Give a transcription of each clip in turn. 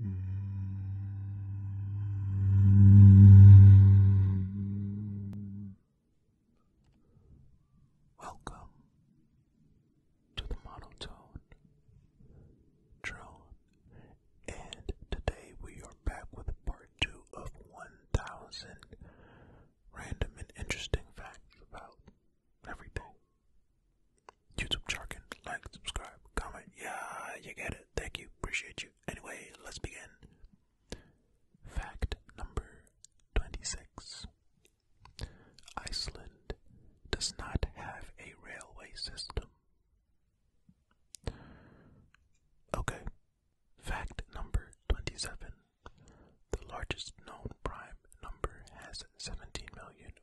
Welcome to the monotone drone, and today we are back with part two of 1000 random and interesting facts about everything. YouTube jargon, like, subscribe, comment. Yeah, you get it. Thank you. Appreciate you. Anyway, let's begin. Fact number 26 Iceland does not have a railway system. Okay. Fact number 27 The largest known prime number has 17,000,000.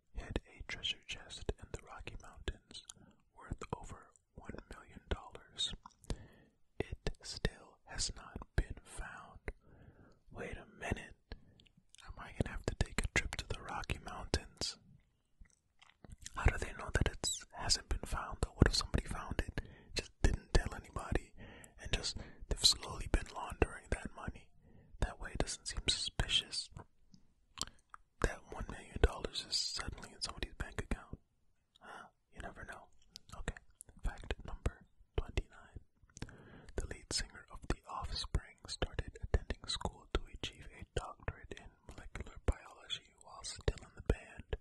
Had a treasure chest in the Rocky Mountains worth over $1 million. It still has not been found. Wait a minute. Am I gonna have to take a trip to the Rocky Mountains? How do they know that it hasn't been found? What if somebody found it, just didn't tell anybody, and just they've slowly been laundering that money? That way it doesn't seem suspicious that one million dollars is suddenly in somebody's bank account. You never know. Okay. Fact number twenty-nine. The lead singer of The Offspring started attending school to achieve a doctorate in molecular biology while still in the band.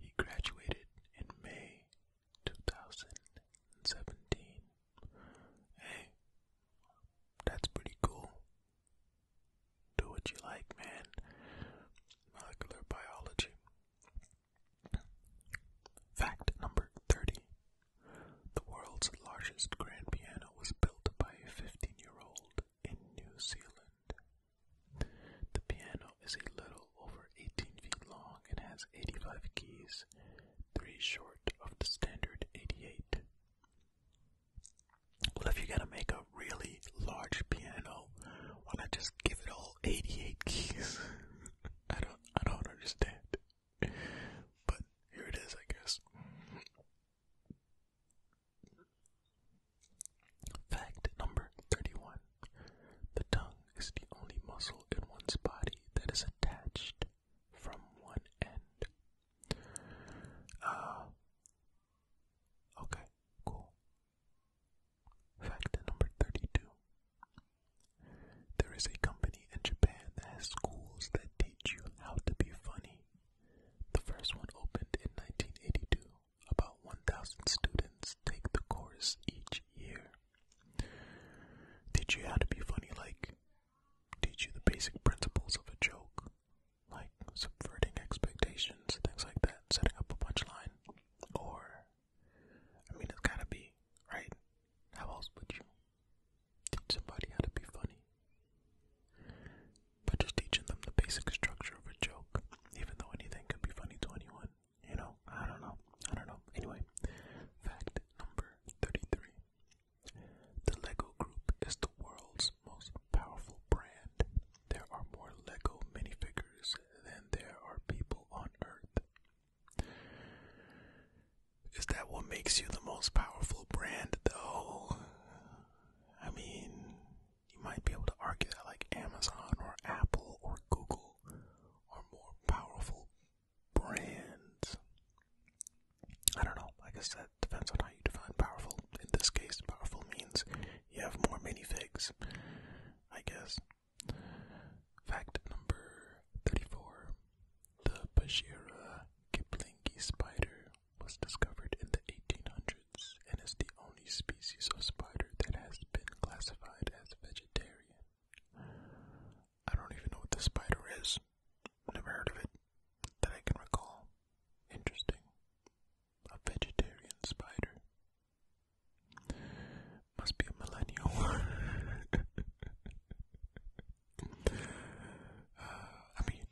He graduated in May 2017. Hey, that's pretty cool do what you like, man. Molecular biology. Fact number 30. The world's largest grand piano was built by a 15 year old in New Zealand. The piano is a little over 18 feet long and has 85 keys, three short of the standard 88. What if you're gonna make a really large piano? Why not just give it all 88 keys? I don't, I don't understand. But here it is, I guess. Fact number 31: The tongue is the only muscle in one's body that is attached from one end. Uh, okay, cool. Fact number 32. There is a company in Japan that has schools that teach you how to be funny. The first one opened in 1982. About 1,000 students take the course each year. Teach you how to be funny, like teach you the basic principles of a joke, like subverting expectations, things like that, setting up a punchline, or, I mean, it's gotta be, right? How else would you teach somebody how to be funny? But just teaching them the basic structure of a joke, even though anything could be funny to anyone, you know? I don't know. I don't know. Anyway, fact number 33 the LEGO Group is the world's most powerful brand. There are more LEGO minifigures than there are people on Earth. Is that what makes you the most powerful brand, though? I mean, you might be able to argue that, like, Amazon or Apple or Google are more powerful brands. I don't know, like I said, depends on how you define powerful. In this case, powerful means you have more minifigs, I guess. Fact number 34 The Bashira Kiplingi spider was discovered in the 1800s and is the only species of spider that has been classified as vegetarian. I don't even know what this spider is. Never heard of it that I can recall. Interesting. A vegetarian spider. Must be a millennial. Uh, I mean,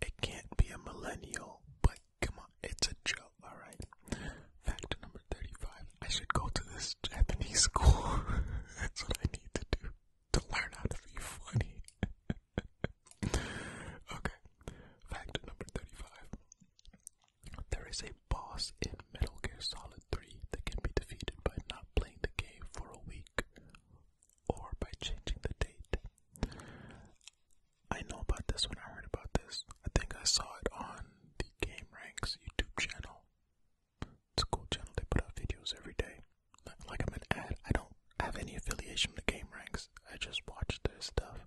it can't be a millennial, but come on, it's a joke, alright? Fact number 35. I should go to this Japanese school. That's what I need to do to learn how to be funny. okay, fact number 35. There is a boss in Metal Gear Solid 3 that can be defeated by not playing the game for a week or by changing the date. I know about this when I heard about this. I think I saw it on the Game Ranks YouTube channel. It's a cool channel, they put out videos every day like I'm an ad. I don't have any affiliation with Game Ranks. I just watch their stuff.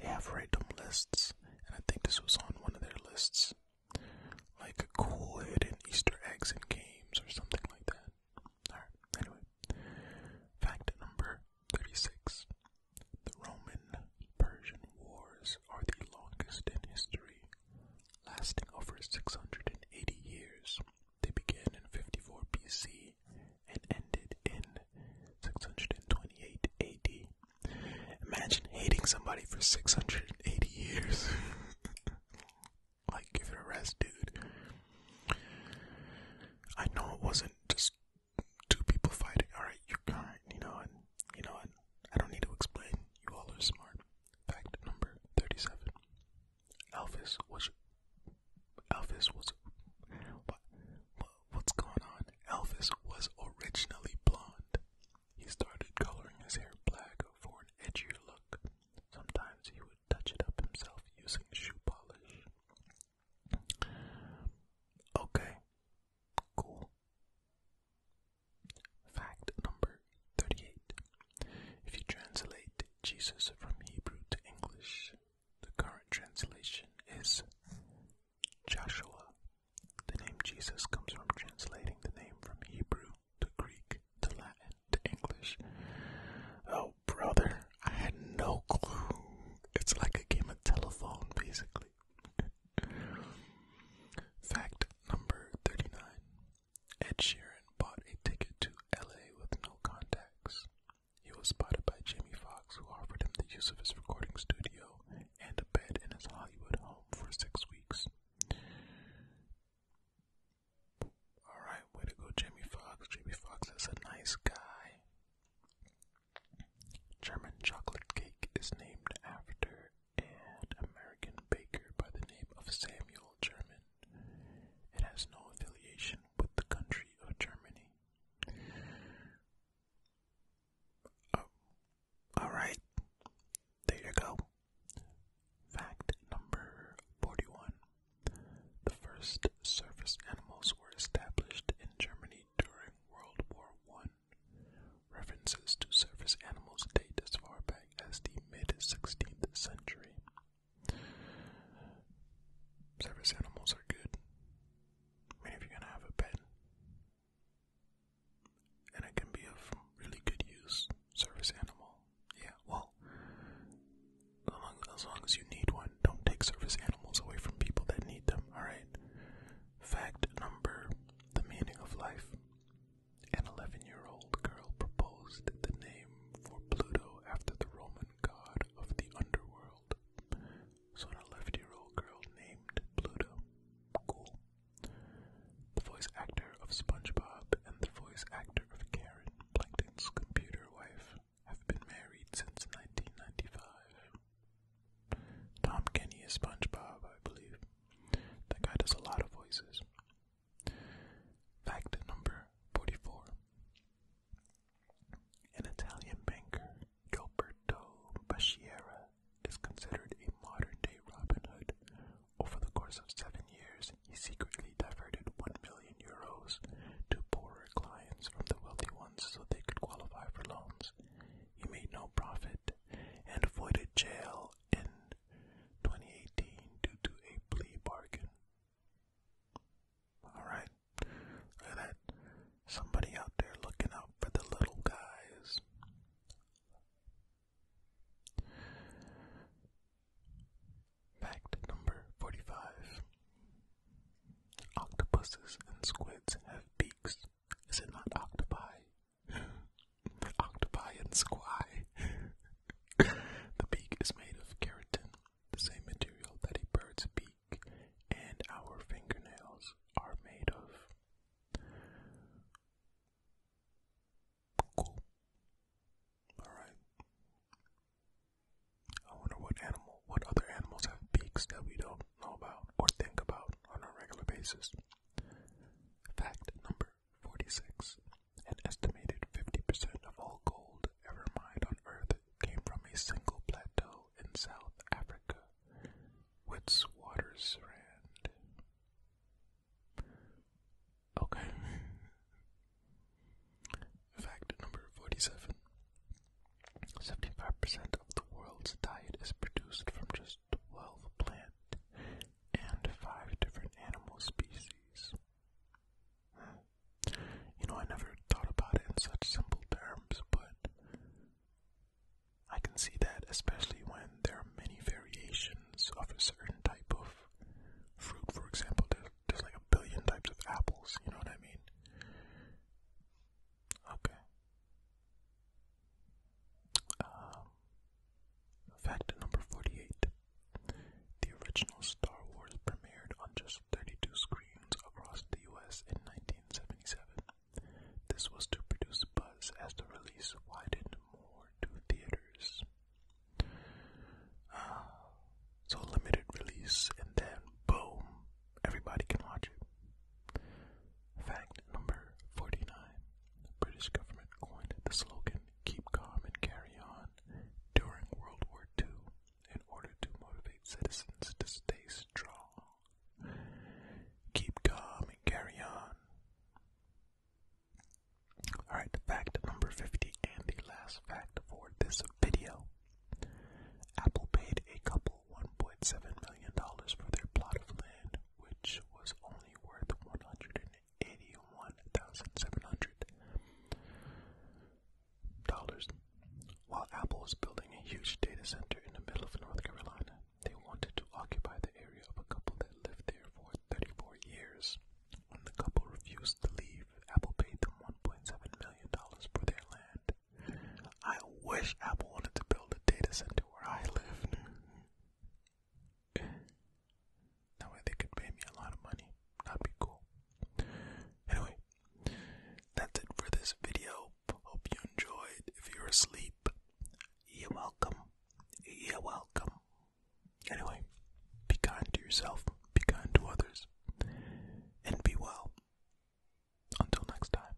They have random lists, and I think this was on one of their lists, like cool hidden Easter eggs in games or something like that. All right. Anyway, fact number thirty-six: the Roman-Persian Wars are the longest in history, lasting over six hundred and eighty years. They began in 54 BC and ended in 628 AD. Imagine hating somebody for 680 years. like, give it a rest, dude. I know it wasn't just two people fighting. Alright, you're kind, you know, and you know what? I don't need to explain. You all are smart. Fact number 37. Elvis was Elvis was what, what's going on? Elvis was originally blonde. He started coloring his hair black for an edgier look. Sometimes he would touch it up himself using shoe polish. Okay. Cool. Fact number 38. If you translate Jesus from Hebrew to English. The current translation is Joshua. The name Jesus comes from translating the name from Hebrew to Greek to Latin to English. Oh, brother, I had no clue. It's like a game of telephone, basically. Fact number 39 Ed Sheeran bought a ticket to LA with no contacts. He was spotted by Jimmy Fox, who offered him the use of his recording studio and a bed in his Hollywood home for six weeks. Alright, way to go, Jamie Foxx. Jamie Foxx is a nice guy. German chocolate cake is named after an American baker by the name of Samuel German. It has no affiliation with the country of Germany. Oh, Alright, there you go. Fact number 41 The first service animals were established in Germany during World War One. References to service animals date as far back as the mid 16th century. Service animals are good. I mean, if you're gonna have a pet, and it can be of really good use, service animal. Yeah, well, as long as you need one, don't take service animals away from people that need them, alright? Fact number the meaning of life. An 11 year old girl proposed the name for Pluto after the Roman god of the underworld. So an 11 year old girl named Pluto. Cool. The voice actor of SpongeBob and the voice actor of Karen, Plankton's computer wife, have been married since 1995. Tom Kenny is SpongeBob, I believe. That guy does a lot of voices. Fact number 44. An Italian banker, Gilberto Baschiera, is considered a modern day Robin Hood. Over the course of seven years, he secretly diverted 1 million euros to poorer clients from the wealthy ones so they could qualify for loans. He made no profit and avoided jail in 2018 due to a plea bargain. Alright? Look at Somebody out there looking out for the little guys. Fact number 45 Octopuses and squids have beaks. Is it not octopi? octopi and squi. the beak is made of keratin, the same material that a bird's beak and our fingernails are made of. Cool. Alright. I wonder what animal, what other animals have beaks that we don't know about or think about on a regular basis. Fact number 46. An estimated 50% of all gold ever mined on Earth came from a single plateau in South Africa, which waters ran. Okay. Fact number 47 75% of the world's diet is produced from just 12 plant and 5 different animal species. You know, I never thought about it in such simple terms, but I can see that, especially when there are many variations of a certain type of fruit. For example, there's, like a billion types of apples, you know what I mean? Okay. Um, fact number 48 the original Star Wars premiered on just 32 screens across the US in 1977. This was to produce buzz as the release widened more to theaters. Ah, so limited release, and then boom, everybody can watch it. Fact number 49 The British government coined the slogan Keep Calm and Carry On during World War II in order to motivate citizens to stay strong. Keep calm and carry on. Alright, fact number 50 and the last fact for this video. Apple paid a couple $1.7 million for their plot of land, which was only worth 181700 while Apple was building a huge data center in the middle of North Carolina, they wanted to occupy the area of a couple that lived there for 34 years. When the couple refused to leave, Apple paid them $1.7 million for their land. I wish Apple wanted to build a data center where I live. that way they could pay me a lot of money. That'd be cool. Anyway, that's it for this video. Hope you enjoyed. If you're asleep, you're welcome. You're welcome. Anyway, be kind to yourself, be kind to others, and be well. Until next time.